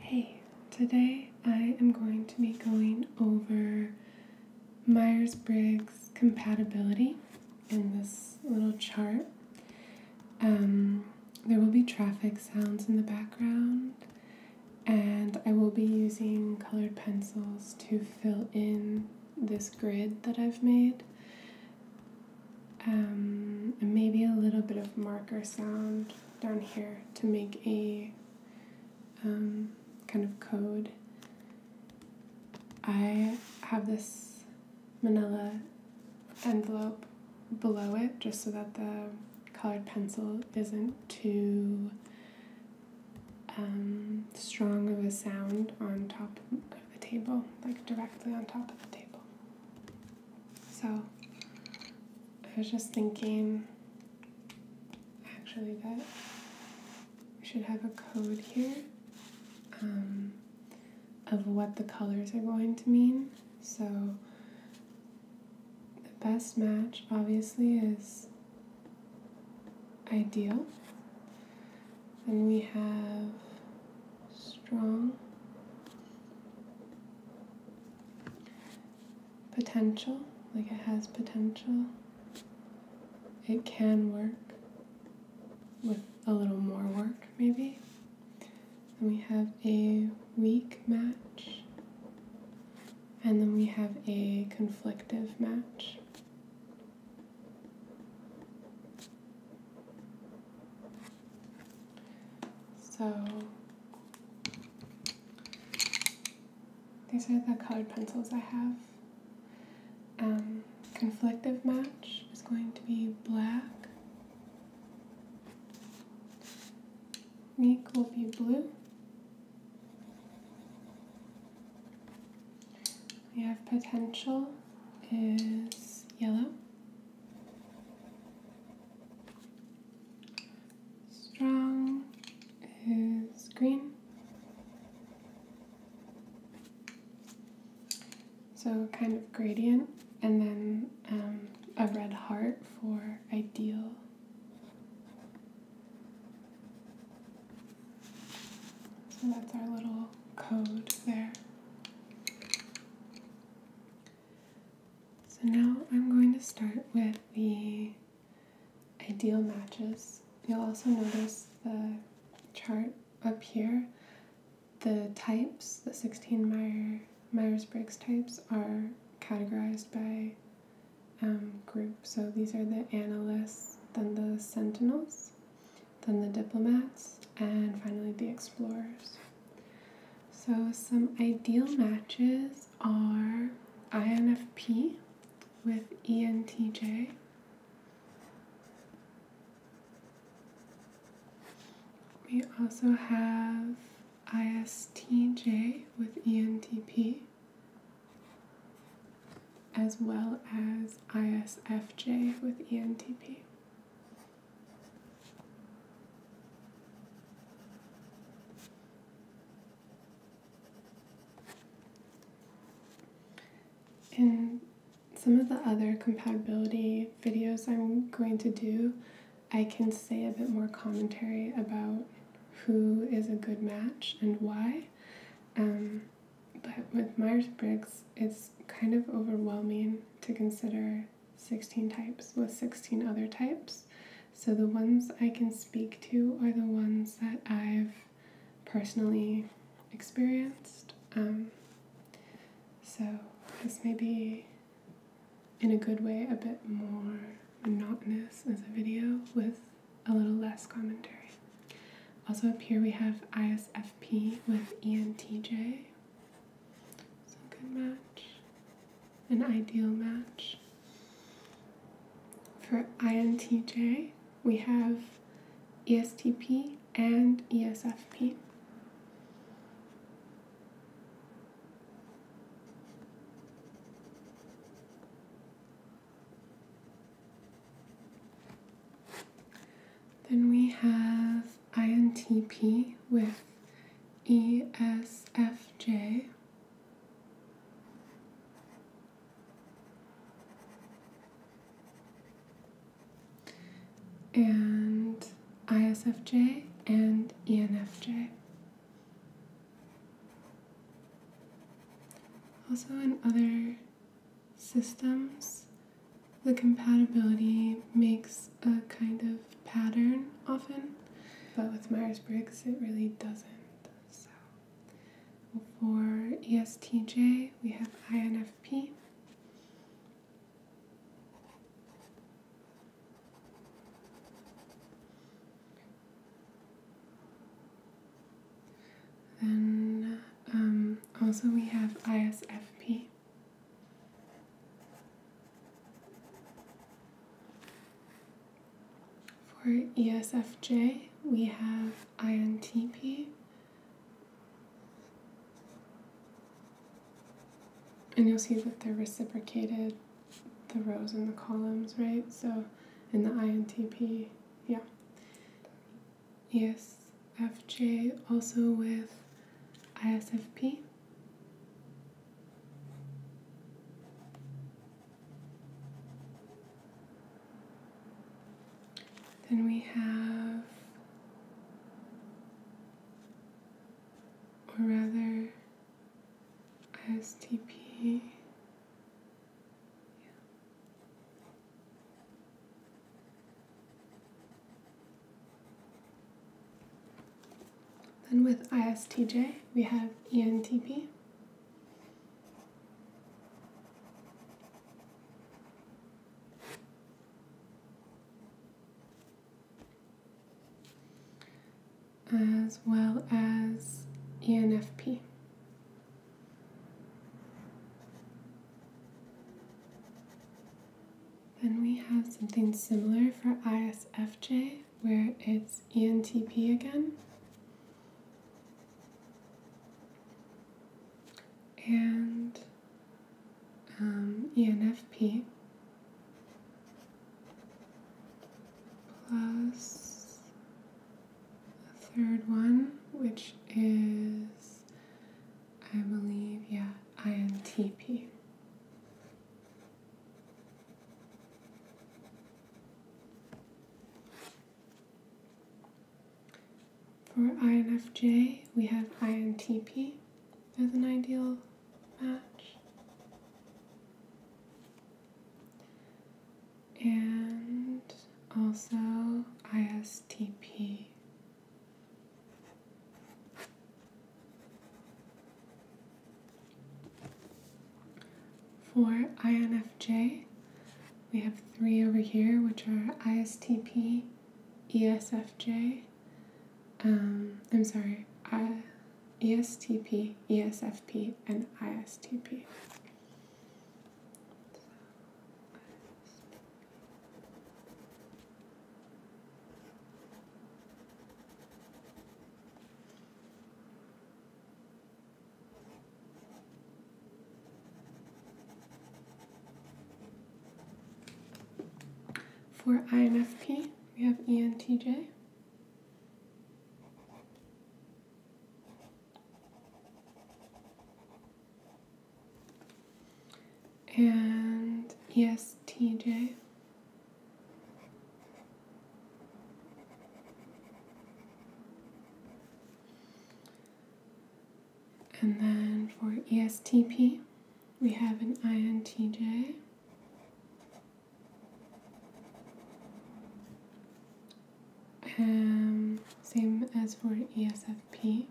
Hey, today I am going to be going over Myers Briggs compatibility in this little chart. Um, there will be traffic sounds in the background, and I will be using colored pencils to fill in this grid that I've made. Um, and maybe a little bit of marker sound down here to make a um, kind of code. I have this manila envelope below it just so that the colored pencil isn't too um, strong of a sound on top of the table, like directly on top of the table. So I was just thinking actually that we should have a code here um, of what the colors are going to mean. So the best match obviously is ideal. Then we have strong potential, like it has potential. It can work with a little more work, maybe. Then we have a weak match. And then we have a conflictive match. So these are the colored pencils I have. Um, conflictive match is going to be black. Meek will be blue. We have potential is yellow. Strong is green. So, kind of gradient, and then um, a red heart for ideal. So, that's our little code there. So now I'm going to start with the ideal matches. You'll also notice the chart up here. The types, the 16 Meyer, Myers-Briggs types, are categorized by um, group. So these are the analysts, then the sentinels, then the diplomats, and finally the explorers. So, some ideal matches are INFP with ENTJ, we also have ISTJ with ENTP, as well as ISFJ with ENTP. In some of the other compatibility videos I'm going to do, I can say a bit more commentary about who is a good match and why. Um, but with Myers Briggs, it's kind of overwhelming to consider 16 types with 16 other types. So the ones I can speak to are the ones that I've personally experienced. Um, so this may be, in a good way, a bit more monotonous as a video with a little less commentary. Also up here we have ISFP with ENTJ. So a good match, an ideal match. For INTJ, we have ESTP and ESFP. Then we have INTP with ESFJ. And ISFJ and ENFJ. Also, in other systems, the compatibility makes a kind of pattern often, but with Myers Briggs it really doesn't. So for ESTJ, we have INFP. Then um, also we have ISFP. For ESFJ, we have INTP. And you'll see that they're reciprocated, the rows and the columns, right? So in the INTP, yeah. ESFJ also with ISFP. Then we have, or rather, STP. Yeah. Then with ISTJ, we have ENTP. as well as ENFP. Then we have something similar for ISFJ where it's ENTP again. And um, ENFP plus a third one, which is, I believe, yeah, INTP. For INFJ, we have INTP as an ideal match. And also ISTP for INFJ, we have three over here, which are ISTP, ESFJ, um, I'm sorry, I, ESTP, ESFP, and ISTP. For INFP, we have ENTJ and ESTJ. And then for ESTP, we have an INTJ. Um, same as for ESFP.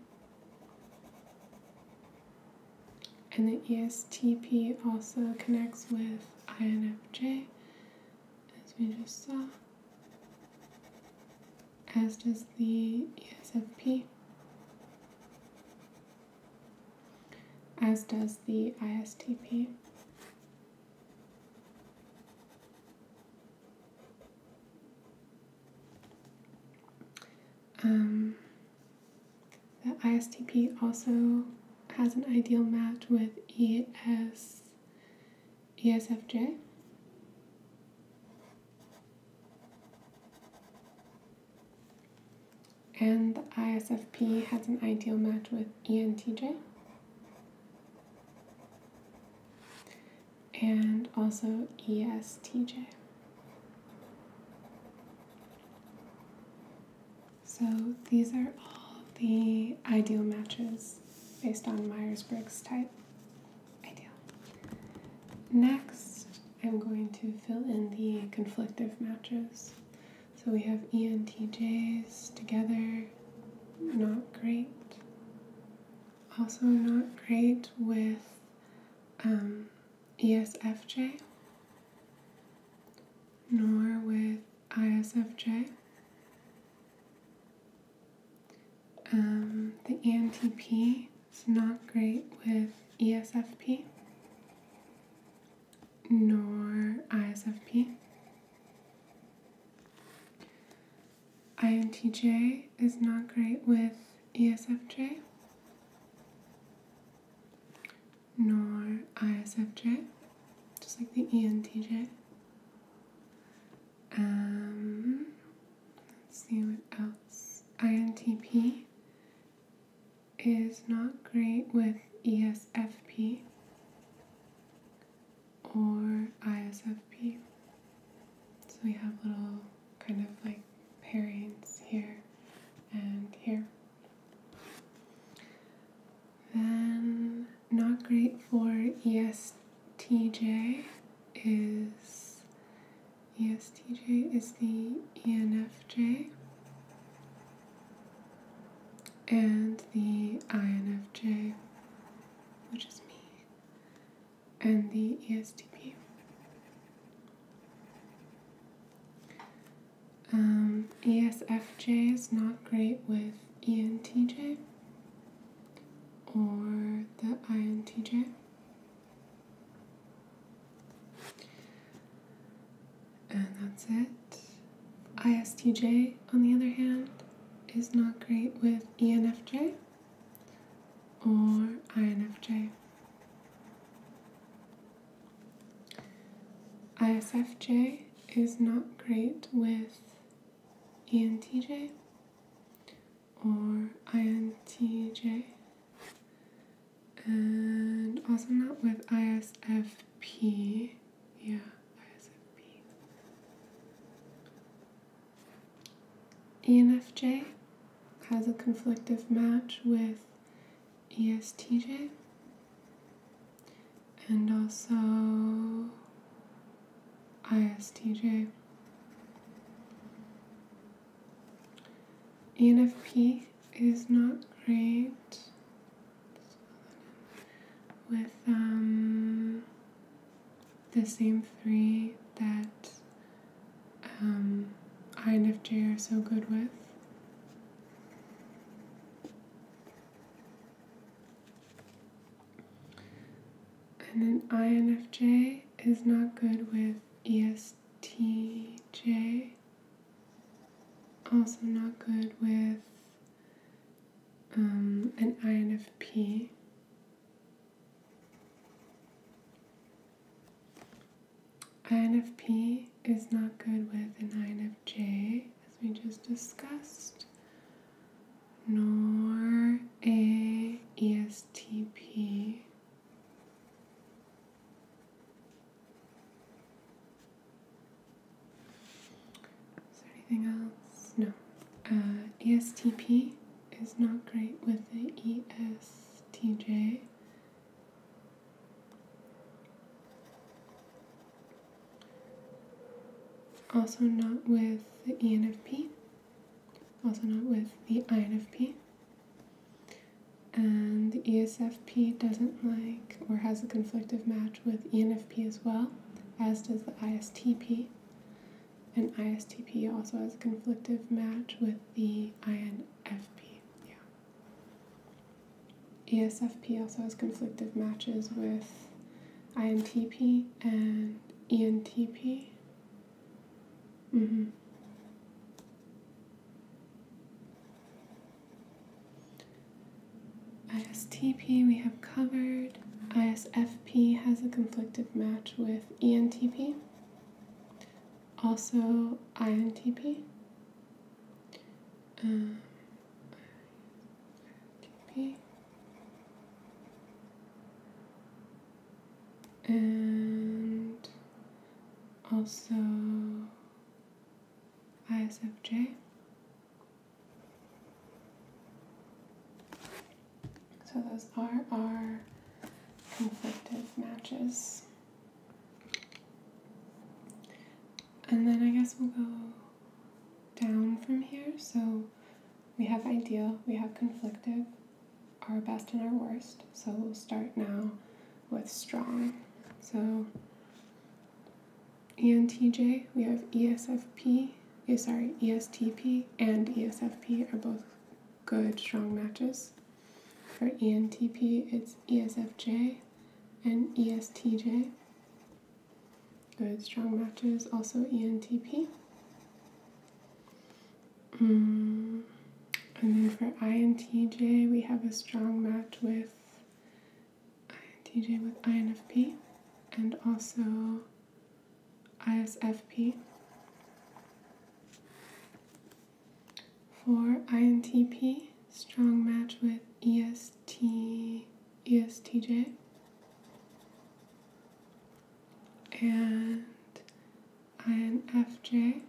And the ESTP also connects with INFJ, as we just saw, as does the ESFP, as does the ISTP. Um, the ISTP also has an ideal match with ES, ESFJ. And the ISFP has an ideal match with ENTJ. And also ESTJ. So these are all the ideal matches based on Myers Briggs type. Ideal. Next, I'm going to fill in the conflictive matches. So we have ENTJs together, not great. Also, not great with um, ESFJ nor with ISFJ. Um, the ENTP is not great with ESFP nor ISFP. INTJ is not great with ESFJ nor ISFJ, just like the ENTJ. Um, see what else. INTP is not great with ESFP or ISFP. So we have little kind of like pairings here and here. Then, not great for ESTJ is ESTJ is the ENFJ and the INFJ, which is me, and the ESTP. Um, ESFJ is not great with ENTJ or the INTJ. And that's it. ISTJ, on the other hand, is not great with ENFJ or INFJ. ISFJ is not great with ENTJ or INTJ, and also not with ISFP. Yeah, ISFP. ENFJ has a conflictive match with ESTJ and also ISTJ. ENFP is not great with um, the same three that um, INFJ are so good with. And an INFJ is not good with ESTJ, also not good with um, an INFP. INFP is not good with an INFJ, as we just discussed, nor a ESTP. Is there anything else? No. Uh, ESTP is not great with the ESTJ, also, not with the ENFP, also, not with the INFP. And the ESFP doesn't like or has a conflictive match with ENFP as well, as does the ISTP. And ISTP also has a conflictive match with the INFP. Yeah. ESFP also has conflictive matches with INTP and ENTP. Mm-hmm. ISTP we have covered. ISFP has a conflictive match with ENTP. Also INTP um, TP and also ISFJ. So those are our conflicted matches. And then I guess we'll go down from here. So we have ideal, we have conflictive, our best and our worst. So we'll start now with strong. So ENTJ, we have ESFP, eh, sorry, ESTP and ESFP are both good strong matches. For ENTP, it's ESFJ, and ESTJ. Good, strong matches, also ENTP. Mm, and then for INTJ, we have a strong match with INTJ with INFP and also ISFP for INTP, strong match with EST, ESTJ. And INFJ.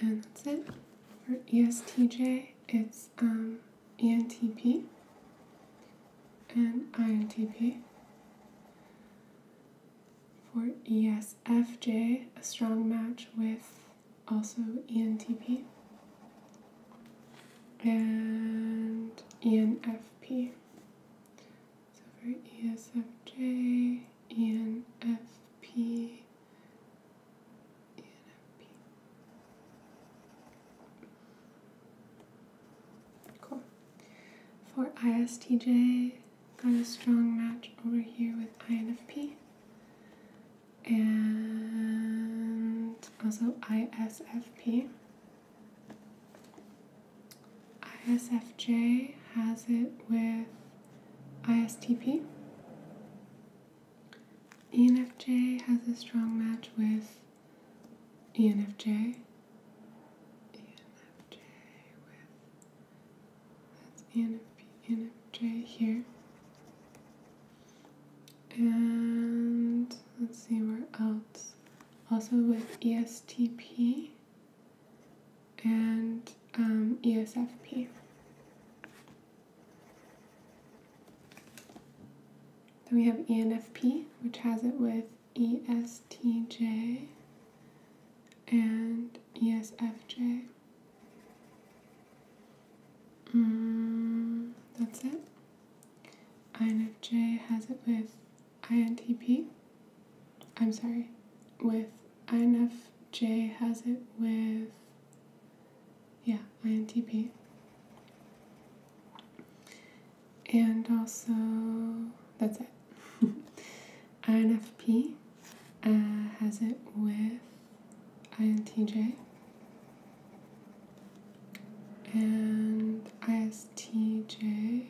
And that's it. For ESTJ, it's um, ENTP and INTP for ESFJ, a strong match with also ENTP and ENFP. So for ESFJ, ENFP, ENFP. Cool. For ISTJ, got a strong match over here with INFP and also ISFP. ISFJ has it with ISTP. ENFJ has a strong match with ENFJ. ENFJ that's ENFP, ENFJ here. And let's see where else. Also with ESTP and um, ESFP. Then we have ENFP, which has it with ESTJ and ESFJ. Mm, that's it. INFJ has it with INTP. I'm sorry, with INFJ has it with, yeah, INTP. And also, that's it. INFP uh, has it with INTJ and ISTJ,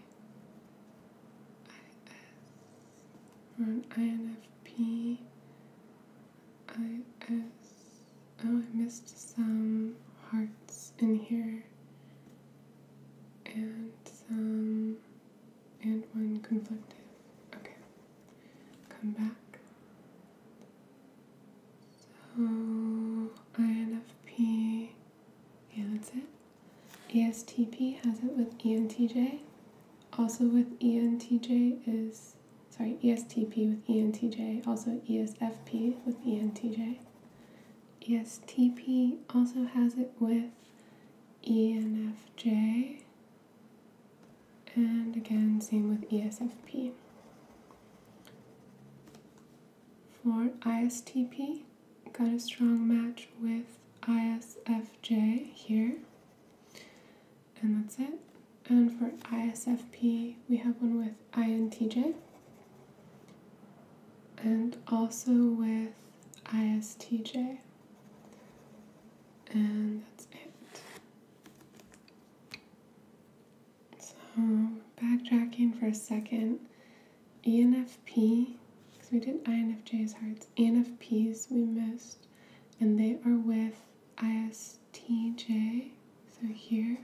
IS, or INFP, IS. Oh, I missed some hearts in here and some and one conflictive. Okay, come back. So INFP, yeah, that's it. ESTP has it with ENTJ. Also with ENTJ is, sorry, ESTP with ENTJ, also ESFP with ENTJ. ESTP also has it with ENFJ and again, same with ESFP. For ISTP, got a strong match with ISFJ here. And that's it. And for ISFP, we have one with INTJ. And also with ISTJ and that's it. So, backtracking for a second, ENFP, because we did INFJ's hearts, ENFPs we missed, and they are with ISTJ, so here,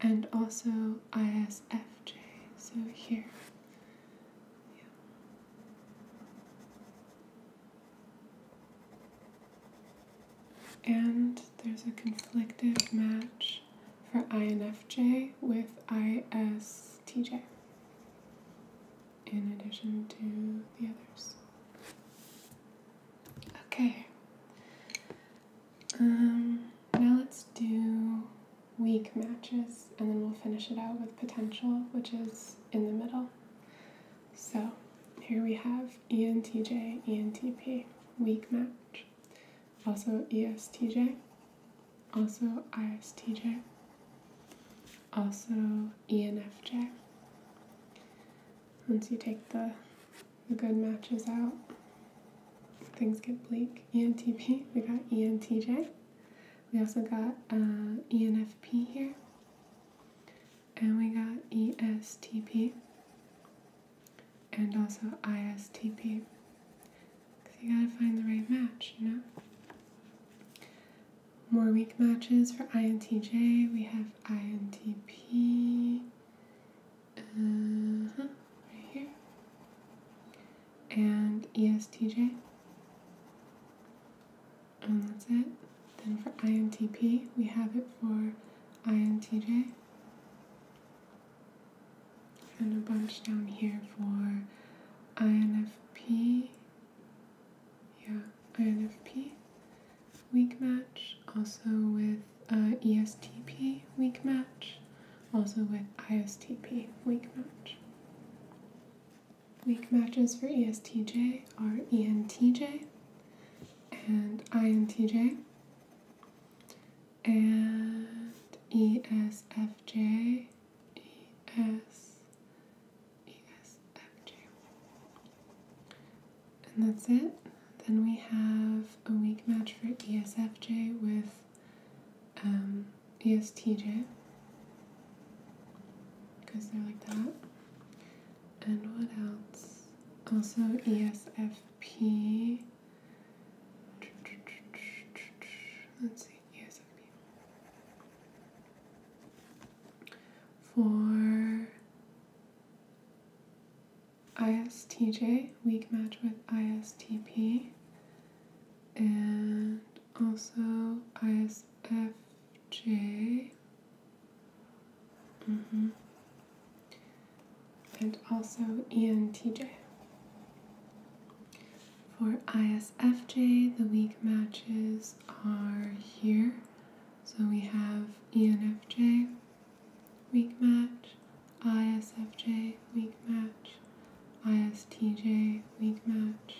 and also ISFJ, so here. And there's a conflictive match for INFJ with ISTJ, in addition to the others. Okay. Um, now let's do weak matches, and then we'll finish it out with potential, which is in the middle. So here we have ENTJ, ENTP, weak match. Also ESTJ, also ISTJ, also ENFJ. Once you take the, the good matches out, things get bleak. ENTP, we got ENTJ. We also got uh, ENFP here, and we got ESTP, and also ISTP. Because you gotta find the right match, you know? More weak matches for INTJ. We have INTP. Uh huh, right here. And ESTJ and that's it. Then for INTP, we have it for INTJ, and a bunch down here for INFP, yeah, INFP weak match, also with uh, ESTP weak match, also with ISTP weak match. Weak matches for ESTJ are ENTJ and INTJ and ESFJ, ES, ESFJ. And that's it. Then we have a weak match for ESFJ with um, ESTJ because they're like that. And what else? Also, ESFP. Let's see, ESFP. For ISTJ, weak match with ISTP. And also ISF. J. Mm -hmm. And also ENTJ. For ISFJ, the weak matches are here. So we have ENFJ, weak match, ISFJ, weak match, ISTJ, weak match,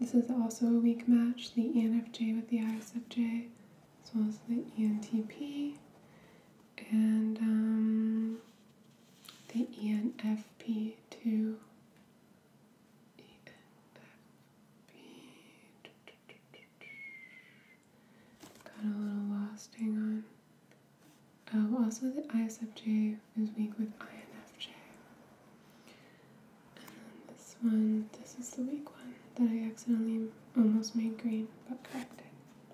this is also a weak match, the ENFJ with the ISFJ, as well as the ENTP and um, the ENFP too. Got a little lost, hang on. Oh, also the ISFJ is weak with INFJ. And then this one, this is the weak one that I accidentally almost made green but corrected.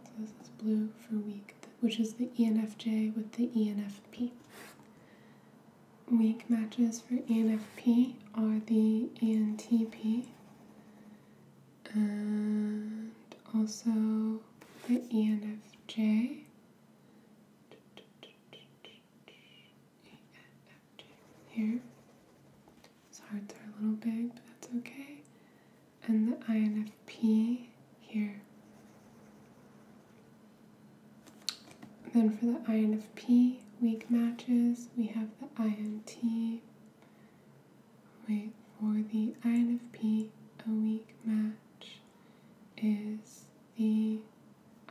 So this is blue for weak, which is the ENFJ with the ENFP. Weak matches for ENFP are the ENTP and also the ENFJ. Here. His hearts are a little big, but that's okay. And the INFP here. then for the INFP weak matches, we have the INT. Wait, for the INFP, a weak match is the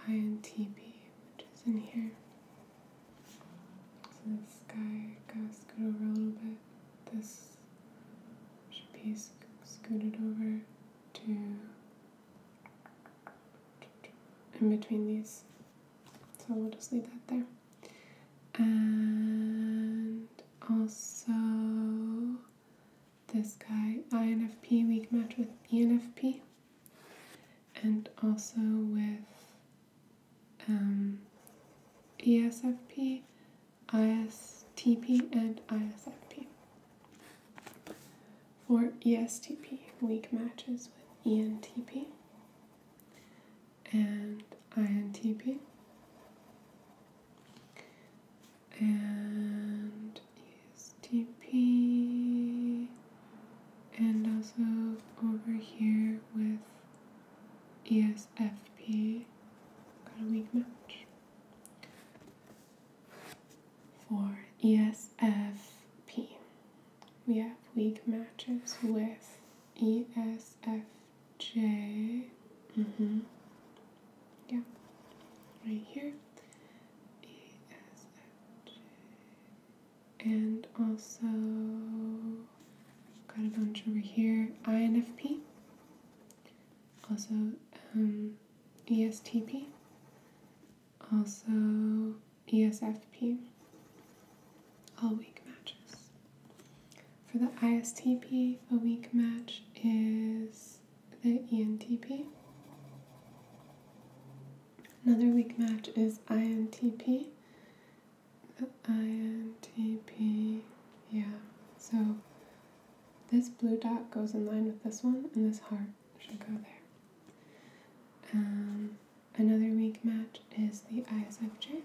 INTB, which is in here. So this guy got scooted over a little bit. This should be scooted over to in between these. So we'll just leave that there. And also this guy, INFP, weak match with ENFP and also with um, ESFP, ISTP, and ISFP. For ESTP, weak matches with ENTP and INTP. And TP and also over here with ESFP. Got a weak match. For ESFP, we have weak matches with ESFJ. Mm hmm. Yeah. Right here. ESFJ and also got a bunch over here INFP, also um, ESTP, also ESFP. All weak matches. For the ISTP, a weak match is the ENTP. Another weak match is INTP. INTP, yeah. So this blue dot goes in line with this one, and this heart should go there. Um, another weak match is the ISFJ.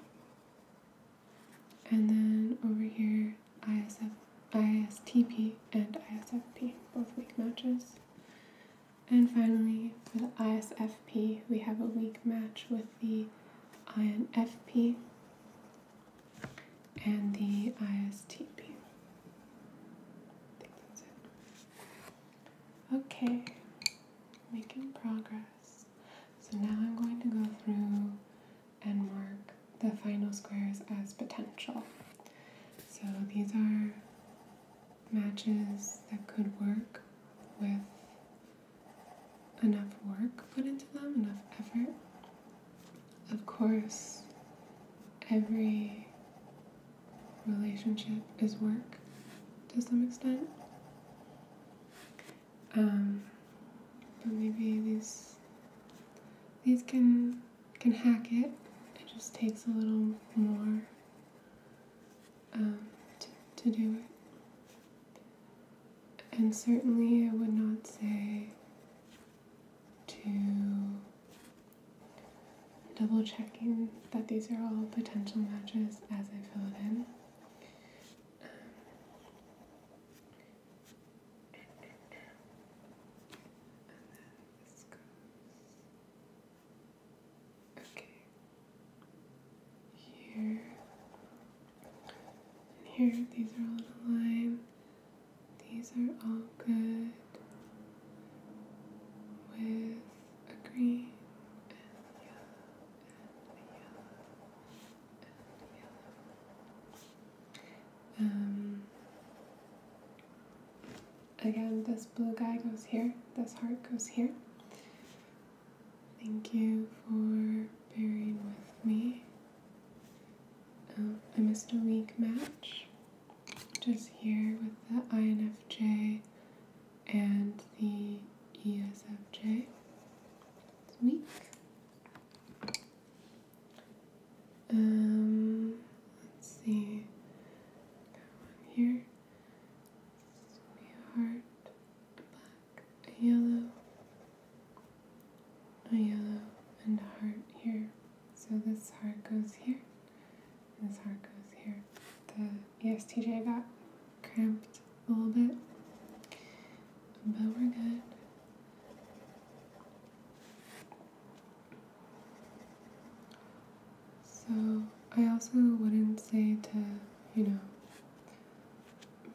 And then over here, ISF, ISTP and ISFP, both weak matches. And finally, for the ISFP, we have a weak match with the INFP and the ISTP. Okay, making progress. So now I'm going to go through and mark the final squares as potential. So these are matches that could work with enough work put into them, enough effort. Of course, every relationship is work to some extent. Um, but maybe these these can can hack it. It just takes a little more um, to, do it. And certainly, I would not say to double checking that these are all potential matches as I fill it in. Um, Okay. Here. And here, these are all in a line. These are all good with a green and yellow and yellow and yellow. Um, again, this blue guy goes here, this heart goes here. Thank you for bearing with me. Um, I missed a weak match, which is here with the INFJ and the ESFJ. It's weak. Um, let's see, here a heart, black, a yellow, a yellow, and a heart here. So this heart goes here, this heart goes here. The ESTJ got cramped a little bit, but we're good. So, I also wouldn't say to, you know,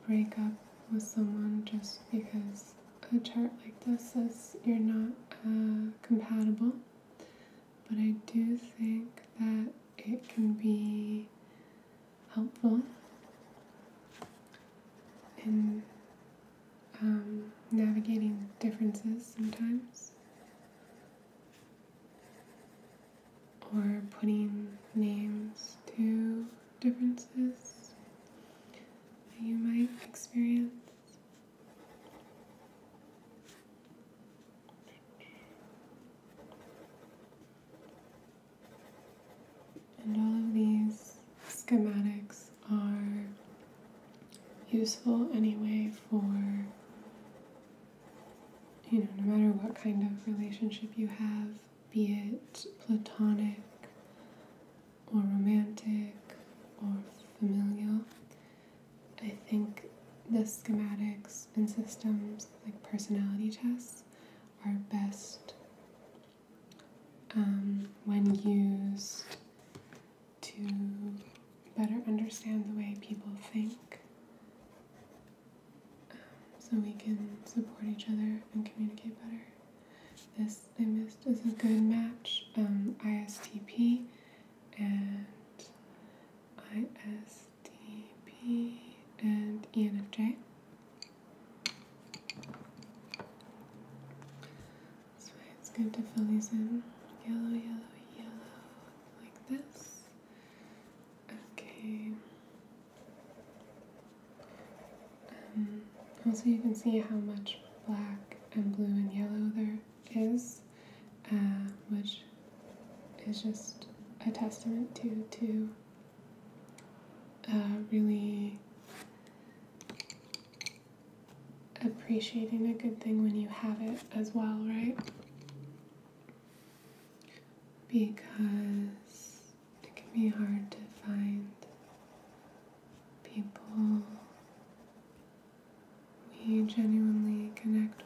break up with someone just because a chart like this says you're not uh, compatible. But I do think that it can be helpful in um, navigating differences sometimes or putting names to differences that you might experience. And all of these schematics are useful anyway for you know, no matter what kind of relationship you have, be it platonic or romantic or familial, I think the schematics and systems, like personality tests, are best um, when used to better understand the way people think um, so we can support each other and communicate better. This I missed is a good match um, ISTP and ISTP and ENFJ. That's why it's good to fill these in. Yellow, yellow, yellow, like this. Okay. Um, also, you can see how much black and blue and yellow there is, uh, which is just a testament to to uh, really appreciating a good thing when you have it as well, right? because it can be hard to find people we genuinely connect with.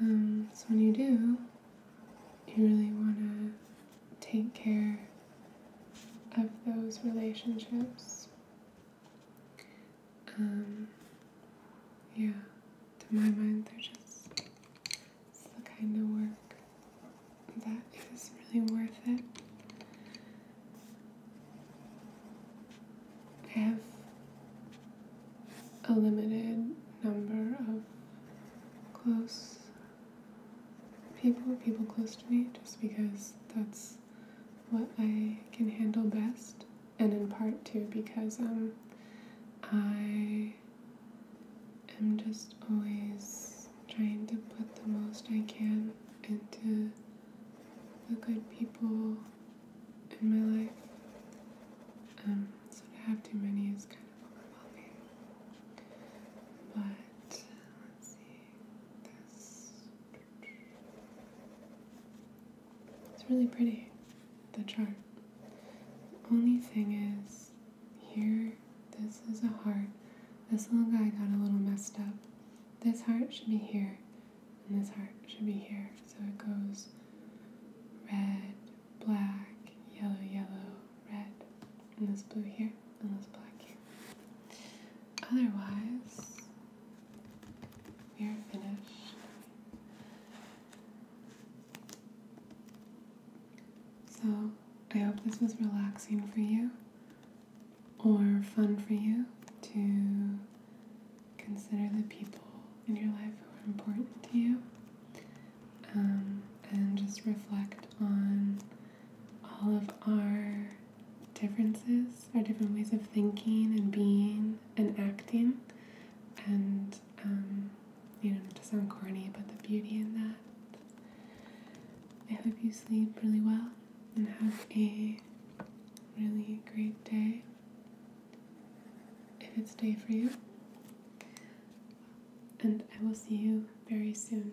Um, so when you do, you really want to take care of those relationships. Um, yeah, to my mind, they're just the kind of work that is really worth it. I have a limited number of close people, people close to me, just because that's what I can handle best, and in part too because um, I am just always trying to put the most I can into the good people in my life. Um, so to have too many is kind of overwhelming. But let's see this. It's really pretty, the chart. The only thing is, here, this is a heart. This little guy got a little messed up. This heart should be here, and this heart should be here. So it goes red, black, yellow, yellow, red, and this blue here, and this black here. Otherwise, we are finished. So, I hope this was relaxing for you or fun for you to consider the people in your life who are important to you um, and just reflect on all of our differences, are different ways of thinking and being and acting, and um, you know, to sound corny, but the beauty in that. I hope you sleep really well and have a really great day if it's day for you. And I will see you very soon.